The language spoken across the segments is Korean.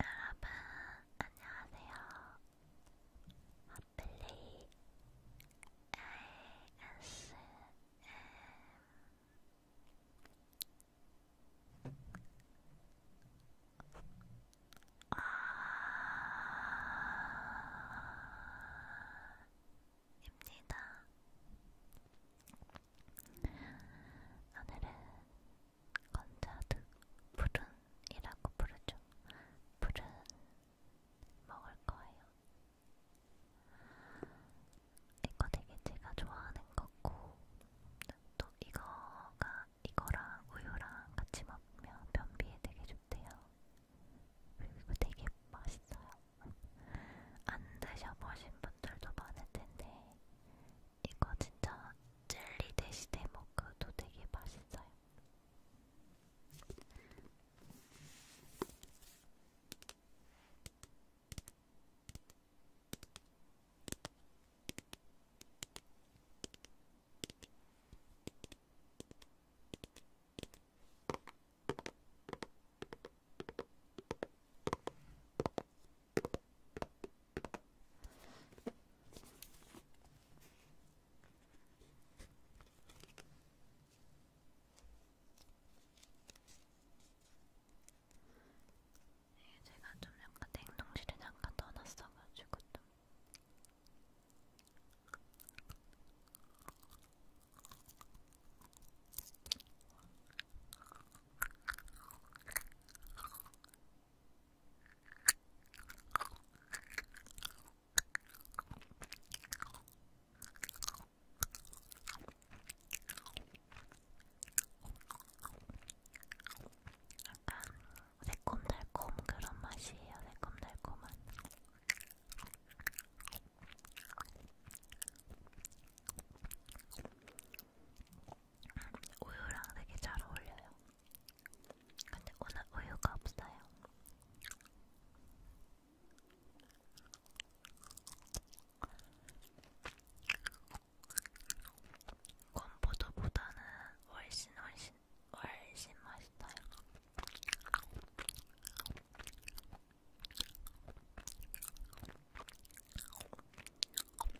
여러분 안녕하세요. 아플리 ASM 아... 입니다. 오늘은 건자득 푸른이라고 부르죠. 푸른 먹을 거예요. 이거 되게 제가 좋아하는 거고 또 이거가 이거랑 우유랑 같이 먹으면 변비에 되게 좋대요. 그리고 되게 맛있어요. 안 드셔보신 분들도 많을 텐데 이거 진짜 젤리 대신에 먹어도 되게 맛있어요. 네, 제가 좀 약간 냉동실에 잠깐 떠났어가지고 좀. 약간 새콤달콤 그런 맛이에요. 새콤달콤한. 우유랑 되게 잘 어울려요. 근데 오늘 우유가 없어요. 건포도보다는 훨씬 훨씬 훨씬 맛있어요.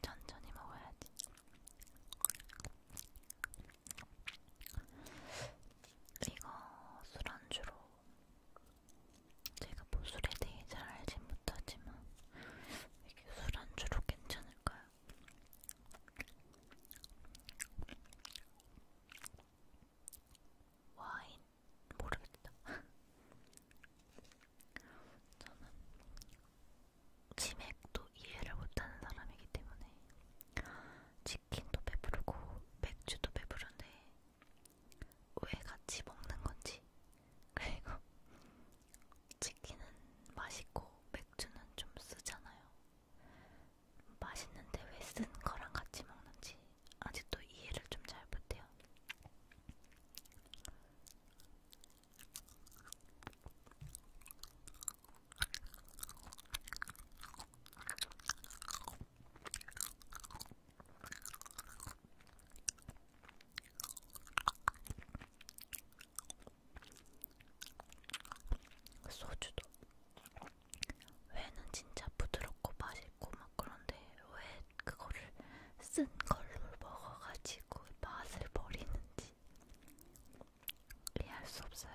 천천히 먹어야지. 이거 술안주로 제가 뭐 술에 대해 잘 알진 못하지만 이게 술안주로 괜찮을까요? 와인 모르겠다. 저는 치맥도 이해를 못하는 사람이기 때문에 치킨도 배부르고 맥주도 배부른데 왜 같이 먹는 건지 그리고 치킨은 맛있고 맥주는 좀 쓰잖아요. 맛있는데 왜 쓴 거랑 같이 먹는지 아직도 이해를 좀 잘 못해요. 소주도 회는 진짜 부드럽고 맛있고 막 그런데 왜 그거를 쓴 걸로 먹어가지고 맛을 버리는지 이해할 수 없어요.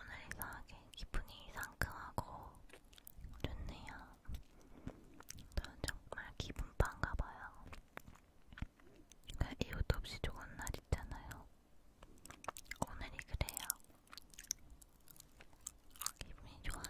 오늘 이상하게 기분이 상큼하고 좋네요. 저는 정말 기분 빵가봐요. 그 이유도 없이 좋은 날 있잖아요. 오늘이 그래요. 기분이 좋아요.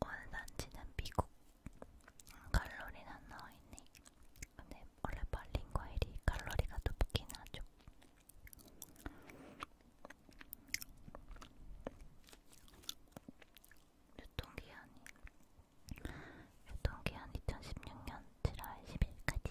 원산지는 미국 칼로리는 안 나와있네 근데 원래 말린 과일이 칼로리가 높긴 하죠 유통기한이 유통기한 2016년 7월 10일까지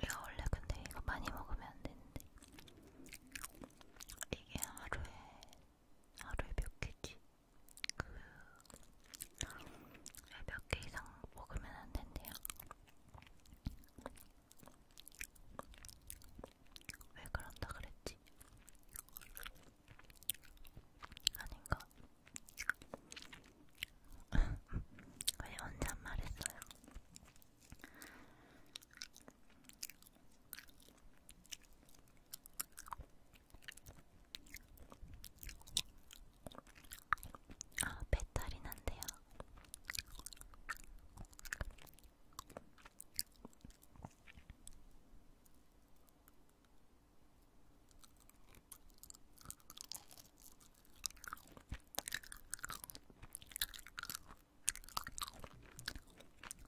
이거 원래 근데 이거 많이 먹으면 안 되는데. 이게 하루에 하루에 몇 개지? 그몇 개 이상 먹으면 안 된대요. 왜 그런다 그랬지? 아닌가? 왜 혼자 말했어요? 아, 배탈이 난대요.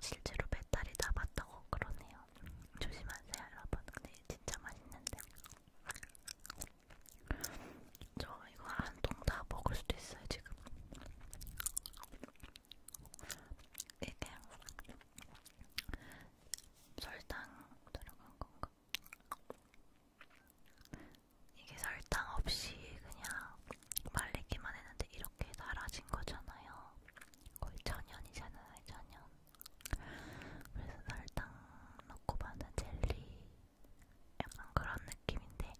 실제로 배탈이 나봤다고 그러네요. 조심하세요, 여러분. 근데 진짜 맛있는데. 저 이거 한 통 다 먹을 수도 있어요, 지금. 이게 설탕 들어간 건가? 이게 설탕 없이 그냥 말리기만 했는데 이렇게 달아진 거잖아요. 거의 천연이잖아요, 천연. 그래서 설탕 넣고 만든 젤리 약간 그런 느낌인데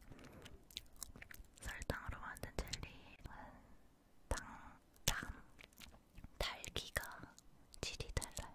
설탕으로 만든 젤리는 당, 당, 달기가 질이 달라요.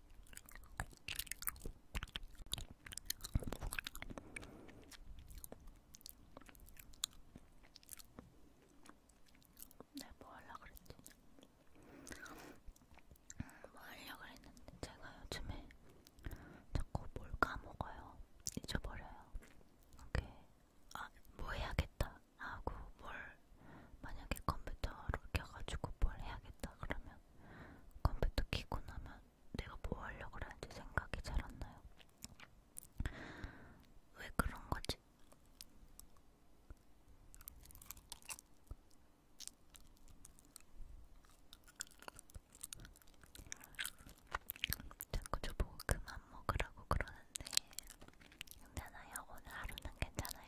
내가 네, 뭐 하려고 그랬지? 음, 뭐 하려고 그랬는데 제가 요즘에 자꾸 뭘 까먹어요. 잊어버려요. 이게 아, 뭐 해야겠다 하고 뭘 만약에 컴퓨터로 켜가지고 뭘 해야겠다 그러면 컴퓨터 키고 나면 내가 뭐 하려고 하는지 생각이 잘 안 나요. 왜 그런 거지? 자꾸 저보고 그만 먹으라고 그러는데 괜찮아요. 오늘 하루는 괜찮아요.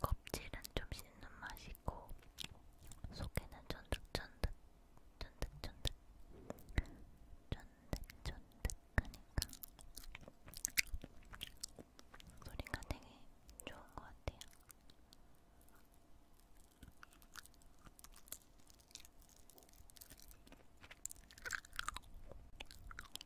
껍질은 좀 씹는 맛이 있고 속에는 쫀득쫀득 쫀득쫀득 쫀득쫀득하니까 소리가 되게 좋은 것 같아요.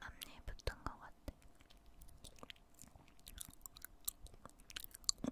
앞니 붙은 것 같아.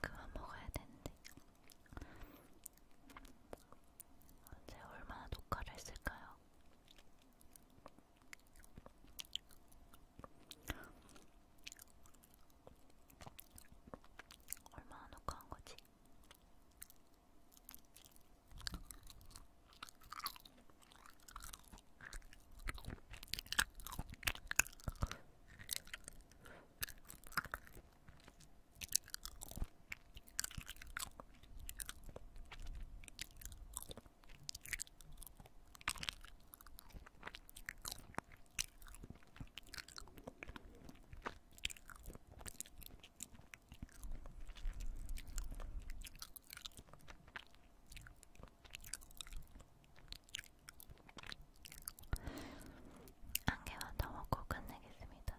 그만 먹어야 되는데 제가 얼마나 녹화를 했을까요? 얼마나 놓고 한 거지? 안개만 더 먹고 끝내겠습니다.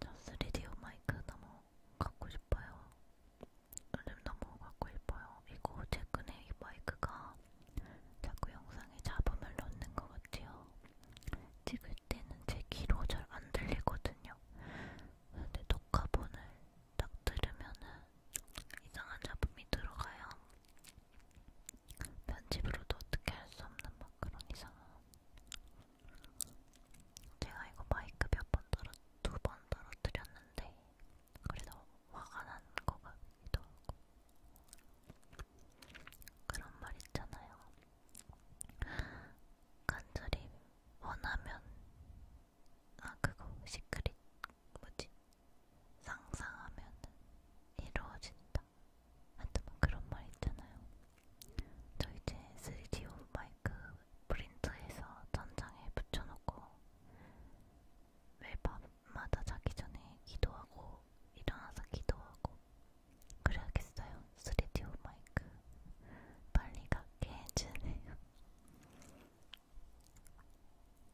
저 3D 마이크 너무 갖고 싶어요. 요즘 너무 갖고 싶어요. 이거 최근에 이 마이크가 자꾸 영상에 잡음을 넣는 것 같아요. 찍을 때는 제 귀로 잘 안 들리거든요. 근데 녹화본을 딱 들으면은 이상한 작품이 들어가요. 편집으로도 어떻게 할 수 없는 막 그런 이상한. 제가 이거 마이크 몇 번 떨어 두 번 떨어뜨렸는데 그래서 화가 난 거 같기도 하고 그런 말 있잖아요. 간절히 원하면 아 그거 시크릿 뭐지 상상하면 이루어진다. 하여튼 뭐 그런 말 있잖아요. 저 이제 3D 오 마이크 프린트해서 전장에 붙여놓고 매일 밤마다 자기 전에 기도하고 일어나서 기도하고 그래야겠어요. 3D 오 마이크 빨리 갖게 해주네요.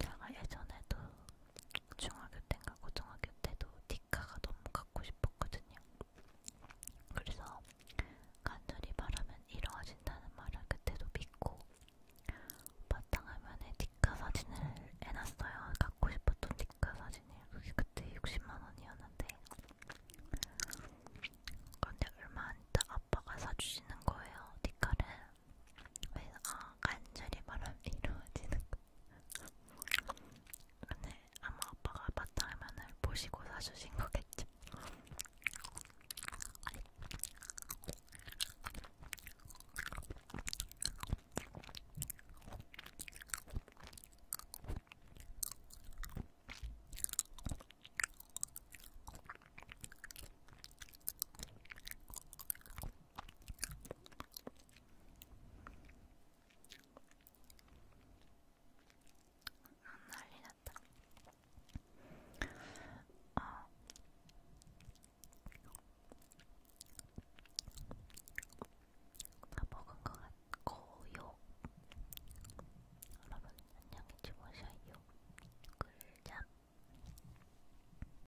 제가 예전에도 중학교 때인가 고등학교 때도 디카가 너무 갖고 싶었거든요. 그래서 간절히 바라면 이루어진다는 말을 그때도 믿고 바탕화면에 디카 사진을 해놨어요. 갖고 싶었던 디카 사진이 그게 그때 60만 원이었는데 근데 얼마 안 있다 아빠가 사주시는 거예요. 디카를 그래서 아 간절히 바람이 이루어지는 거 근데 아마 아빠가 바탕화면을 보시고 사주신 거겠죠 안 아, 난리 났다. 아. 다 먹은 것 같고요. 여러분 안녕히 주무셔요. 글잠.